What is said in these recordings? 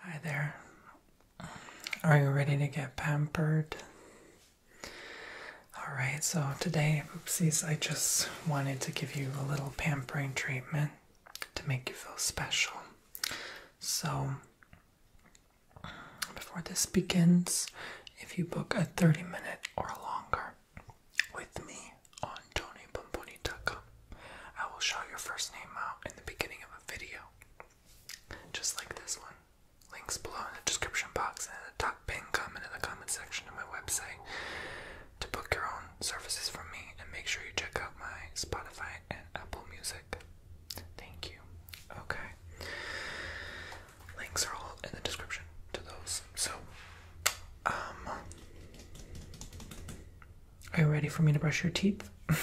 Hi there. Are you ready to get pampered? Alright, so today, oopsies, I just wanted to give you a little pampering treatment to make you feel special. So, before this begins, if you book a 30 minute or longer with me on Tony TonyBomboni.com, I will shout your first name out in the beginning of a video. Just like this one. Links below in the description box and in the top pin comment in the comment section of my website to book your own services from me and make sure you check out my Spotify and Apple Music. Thank you. Okay. Links are all in the description to those. So, um, are you ready for me to brush your teeth? I'm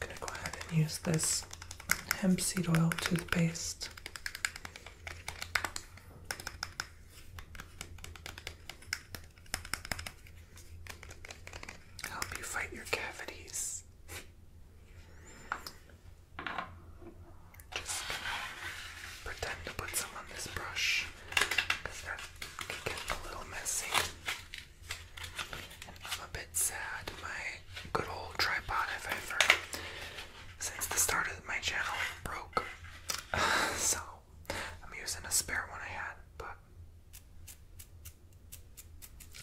going to go ahead and use this hemp seed oil toothpaste. Help you fight your cavities. Just gonna pretend to put some on this brush because that could get a little messy. And I'm a bit sad my good old tripod ever since the start of my channel broke. so I'm using a spare one I had, but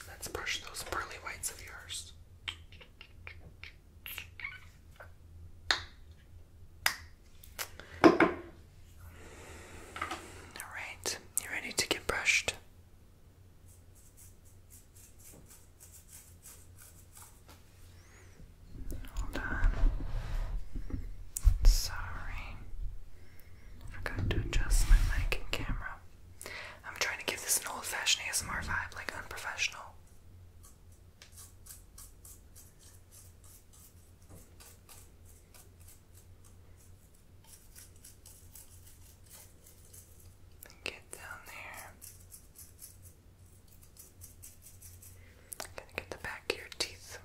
let's brush those pearly whites of yours. Alright, you ready to get brushed? Hold on. Sorry. Forgot to adjust my mic and camera. I'm trying to give this an old fashioned ASMR vibe, like unprofessional. Get down there. i to get the back of your teeth.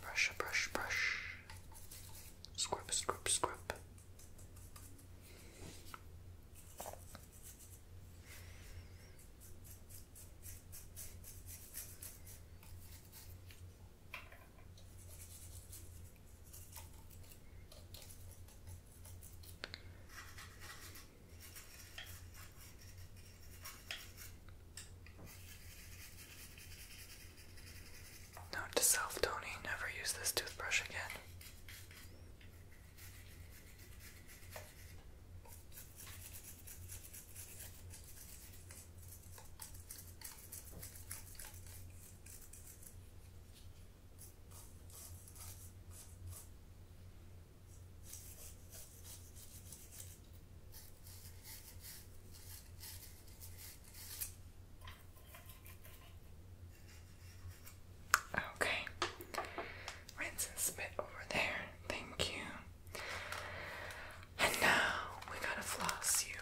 Brush, brush, brush. Scrub, scrub, scrub. Note to self, Tony, never use this toothbrush again. Okay. Rinse and spit over there. Thank you. And now we gotta floss you.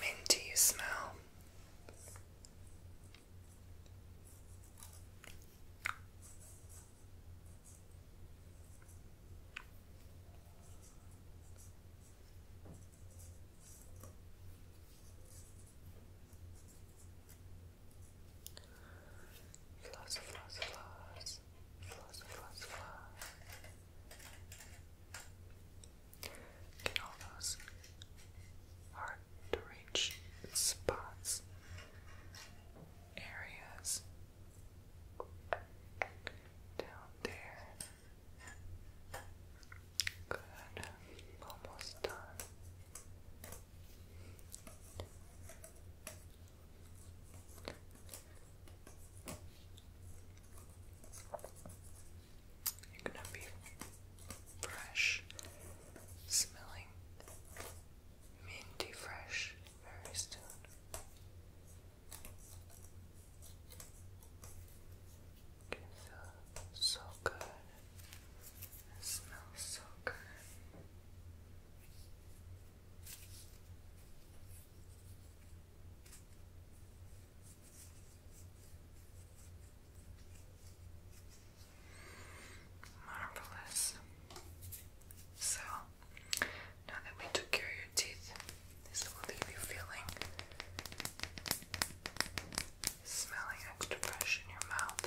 Minty smell. Floss, floss, floss, floss, floss, floss. Get all those hard to reach spots, areas down there. Good. Almost done. You're gonna be fresh smelling minty fresh very soon. It feels so good. It smells so good. Marvelous. So now that we took care of your teeth, this will leave you feeling smelling extra fresh in your mouth.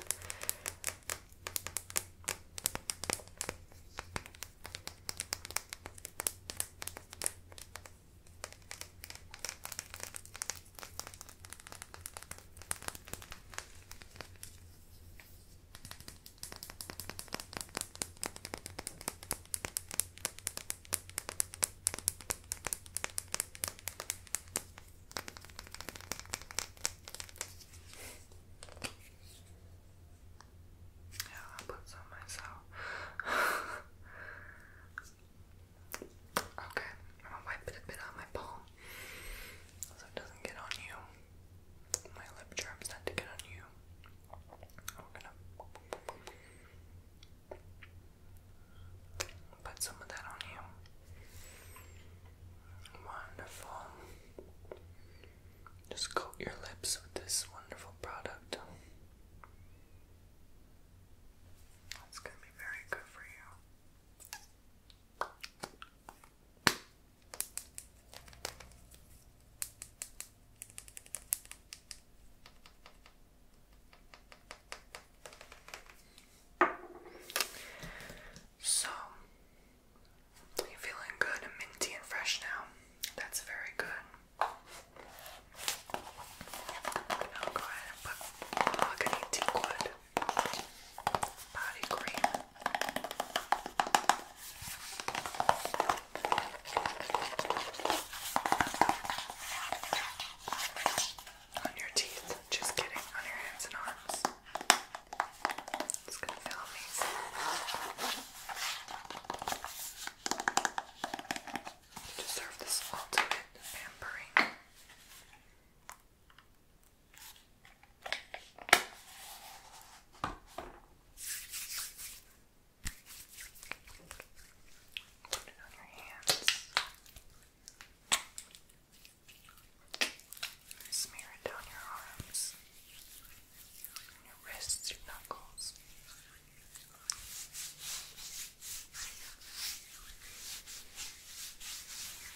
Yeah, I put some myself. okay, I'm gonna wipe it a bit on my palm so it doesn't get on you. My lip germs tend to get on you. we Put some of that on you. Wonderful. Just coat your lips with this wonderful product. That's going to be very good for you. So, you feeling good and minty and fresh now? That's very good. i go ahead and put mahogany teakwood body cream on your teeth, just kidding, on your hands and arms. It's gonna feel amazing. You deserve this ultimate pampering. Put it on your hands. Smear it down your arms, your wrists, your knuckles.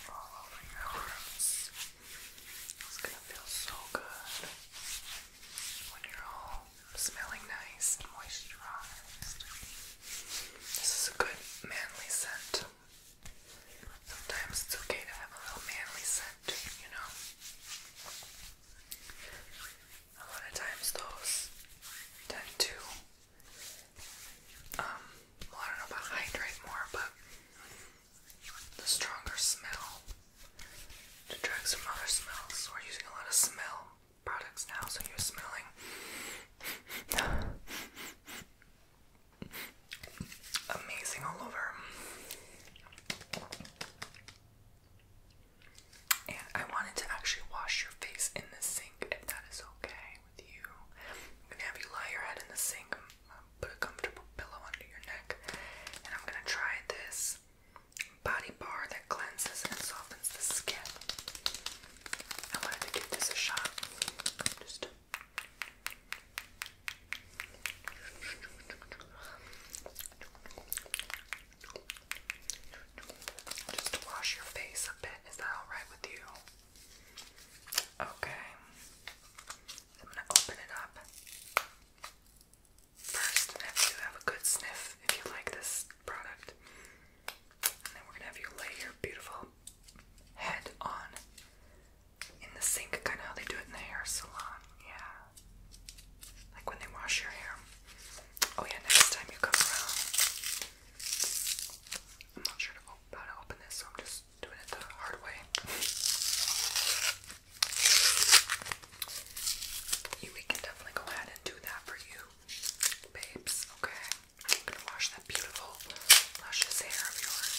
All over your arms. It's gonna feel so good when you're all smelling nice and moisturized. This is a good manly scent. Sometimes it's okay to have a little manly scent, you know. A lot of times those tend to um I don't know about hydrate more, but the stronger smell to drag some other smells. We're using a lot of smell products now, so you're smelling. Amazing all over. And I wanted to actually wash your face in the sink if that is okay with you. I'm gonna have you lie your head in the sink, put a comfortable pillow under your neck, and I'm gonna try this body bar that cleanses and softens the skin. I wanted to give this a shot. Just to wash your face a bit. Is that alright with you? Okay. I'm going to open it up first and have to have a good sniff if you like this product. then we're gonna have you lay your beautiful head on in the sink, kind of how they do it in the hair salon. Yeah. Like when they wash your hair. Oh, yeah, next time you come around. I'm not sure how to open this, so I'm just doing it the hard way. You, we can definitely go ahead and do that for you babes. Okay, I'm gonna wash that beautiful luscious hair of yours.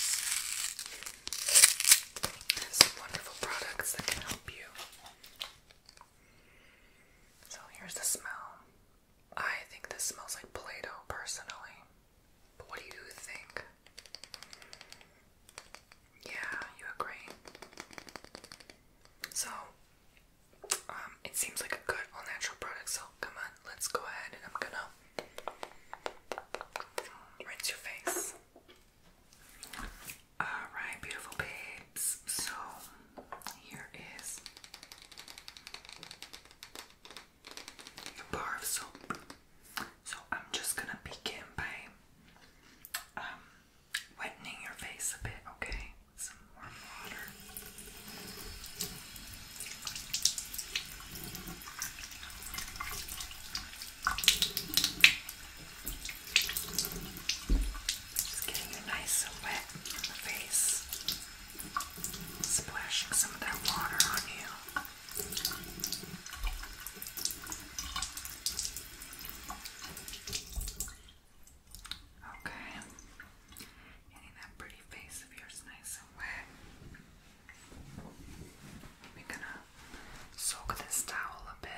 There's some wonderful products that can help you. So here's the smell. I think this smells like Play-Doh personally. But what do you think? Yeah, you agree. So um, it seems like a good all natural product, so come on, let's go ahead and I'm gonna rinse your face. Alright, beautiful babes. So, here is your bar of soap. So, I'm just gonna begin by um, Wetting your face a bit, okay? some warm water. Just getting you nice and wet on the face. Splashing some of that water on you. Okay. Getting that pretty face of yours nice and wet. We're gonna soak this towel a bit.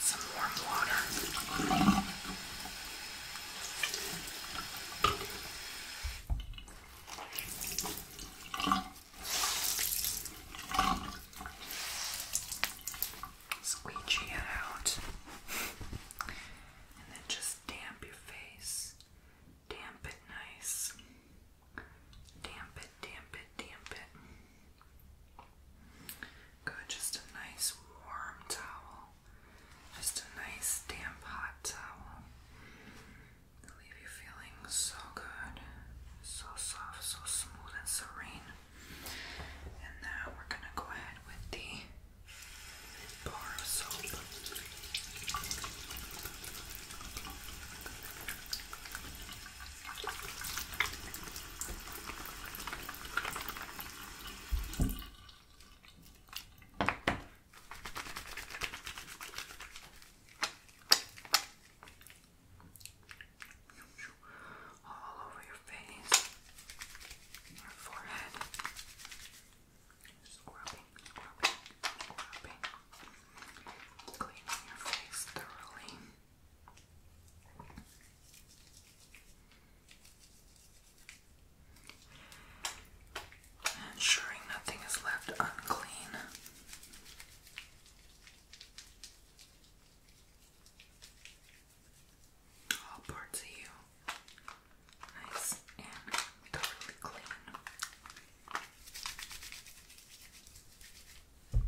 Some warm water. Squeegee it out and then just damp your face. Damp it nice. Damp it, damp it, damp it. Good, just a nice warm towel. Just a nice damp hot towel. leave you feeling so good, so soft, so smooth, and serene. And now we're gonna go ahead with the bar of soap all over your face, your forehead. Just scrubbing, scrubbing, scrubbing, cleaning your face thoroughly ensuring nothing is left unclean. All parts of you nice and totally clean. Okay,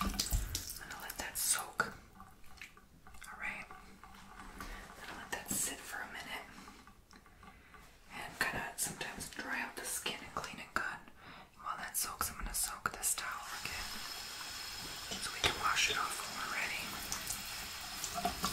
I'm gonna let that soak. Alright, I'm gonna let that sit for a minute and kind of sometimes dry out the skin and clean it good. While that soaks, I'm gonna soak this towel again so we can wash it off when we're ready.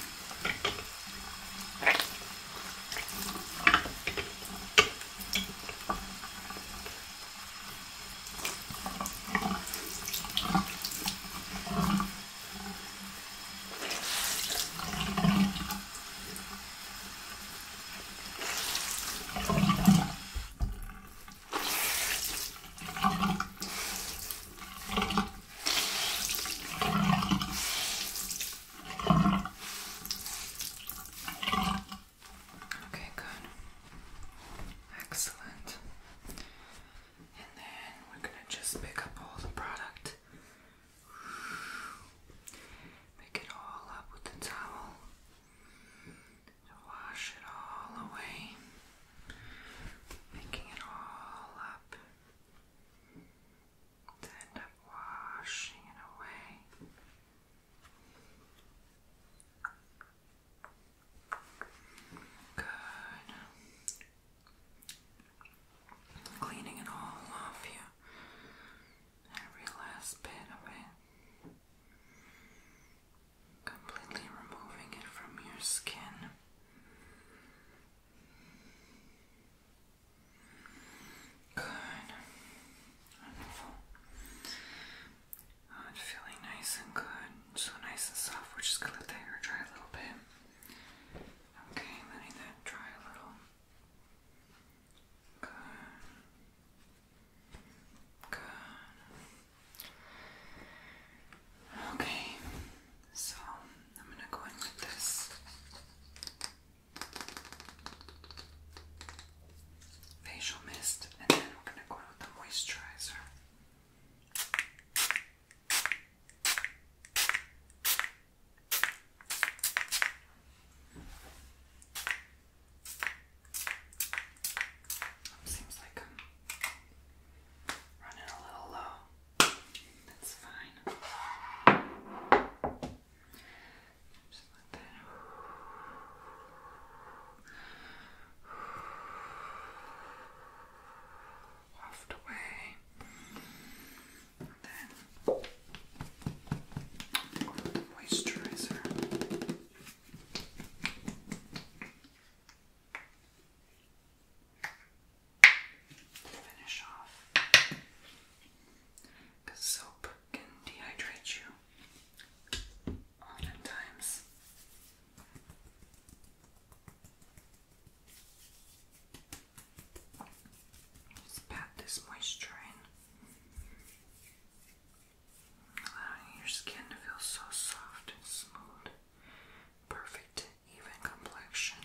Okay, good. Excellent. And then we're going to just pick up all the product. Pick it all up with the towel to wash it all away, making it all up to end up washing it away. Good. Cleaning it all off you. Every last bit of it completely removing it from your skin. Good. Wonderful. Oh, it's feeling nice and good. So nice and soft. We're just going to let the hair dry a little bit. Okay, letting that dry a little. Okay, so I'm gonna go in with this facial mist, and then we're gonna go in with the moisturizer. Seems like I'm running a little low. That's fine. Just let that waft away. then moisturizer finish off. Because soap can dehydrate you oftentimes. Just pat this moisture in allowing your skin to feel so soft and smooth. Perfect, even complexion.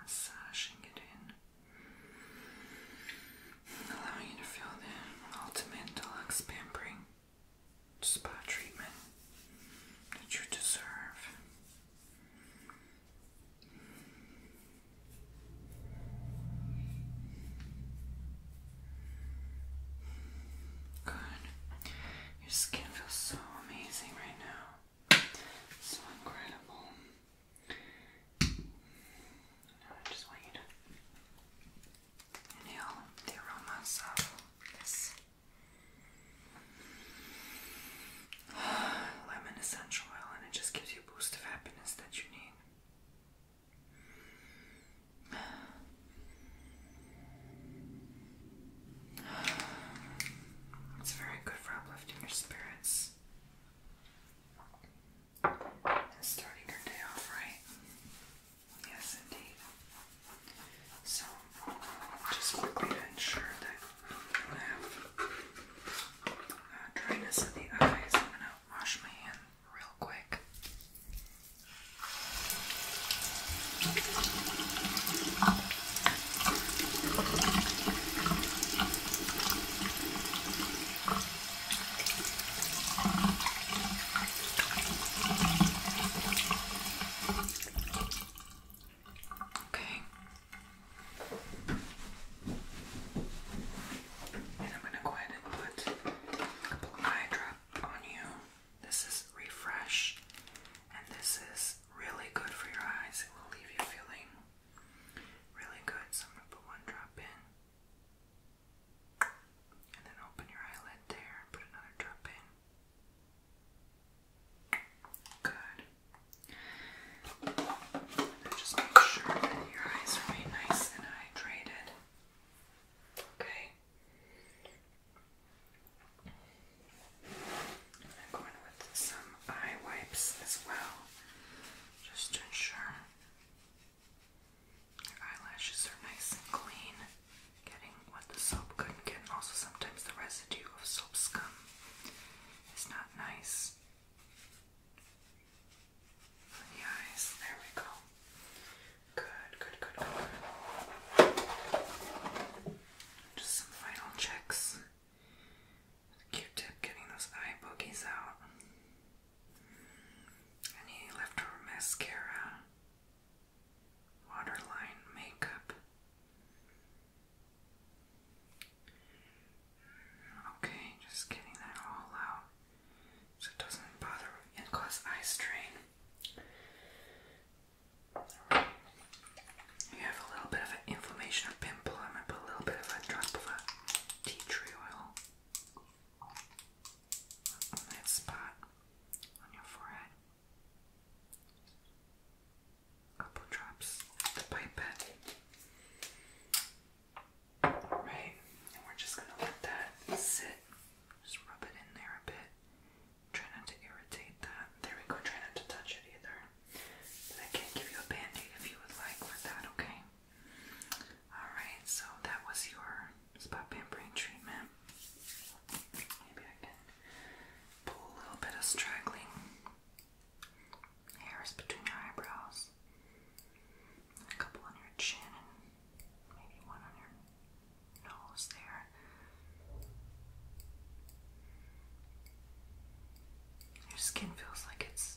Massaging it in, allowing you to feel the ultimate deluxe pampering spa treatment that you deserve. Good. Your skin feels so amazing right now. So incredible. I just want you to inhale the aromas of this. lemon essential oil, and it just gives you a boost of happiness that you need. It's very good for uplifting your spirits starting your day off right. Yes, indeed. So, just quickly to ensure that uh, dryness of the eyes, I'm going to wash my hand real quick. Okay. And I'm gonna go ahead and put a couple eye drops on you. This is refresh, and this is really good for your eyes. It will leave you feeling really good. So I'm gonna put one drop in, and then open your eyelid there put another drop in. Good. just make sure your eyes remain nice and hydrated. Okay. I'm going with some eye wipes as well, just to ensure your eyelashes are nice and clean. Getting what the soap couldn't get, and also sometimes the residue of soap scum is not nice the eyes. There we go. Good, good, good, good. Just some final checks. Q-tip getting those eye boogies out. Any leftover mascara? waterline makeup. Okay, just getting that all out so it doesn't bother and cause eye strain. You have a little bit of an inflammation or pimple. I'm gonna put a little bit of a drop of a tea tree oil on that spot on your forehead couple drops of the pipette. Alright, and we're just gonna let that sit. Just rub it in there a bit. Try not to irritate that. There we go, try not to touch it either. I can give you a band if you would like for that, okay? Alright, so that was your spot pampering treatment. Maybe I can a little bit of straggling hairs between your eyebrows, a couple on your chin, maybe one on your nose there. Your skin feels like it's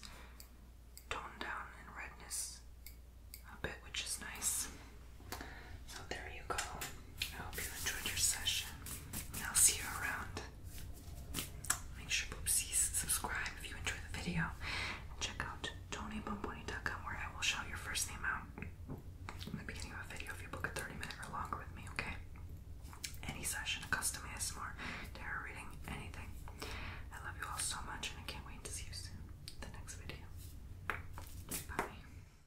toned down in redness a bit, which is nice. So there you go. I hope you enjoyed your session. And I'll see you around. Make sure boopsies subscribe if you enjoy the video. And check out TonyBomboni.com where I will shout your first name out in the beginning of a video if you book a 30 minute or longer with me, okay? Any session, a custom ASMR, tarot reading, anything. I love you all so much and I can't wait to see you soon. The next video. Bye.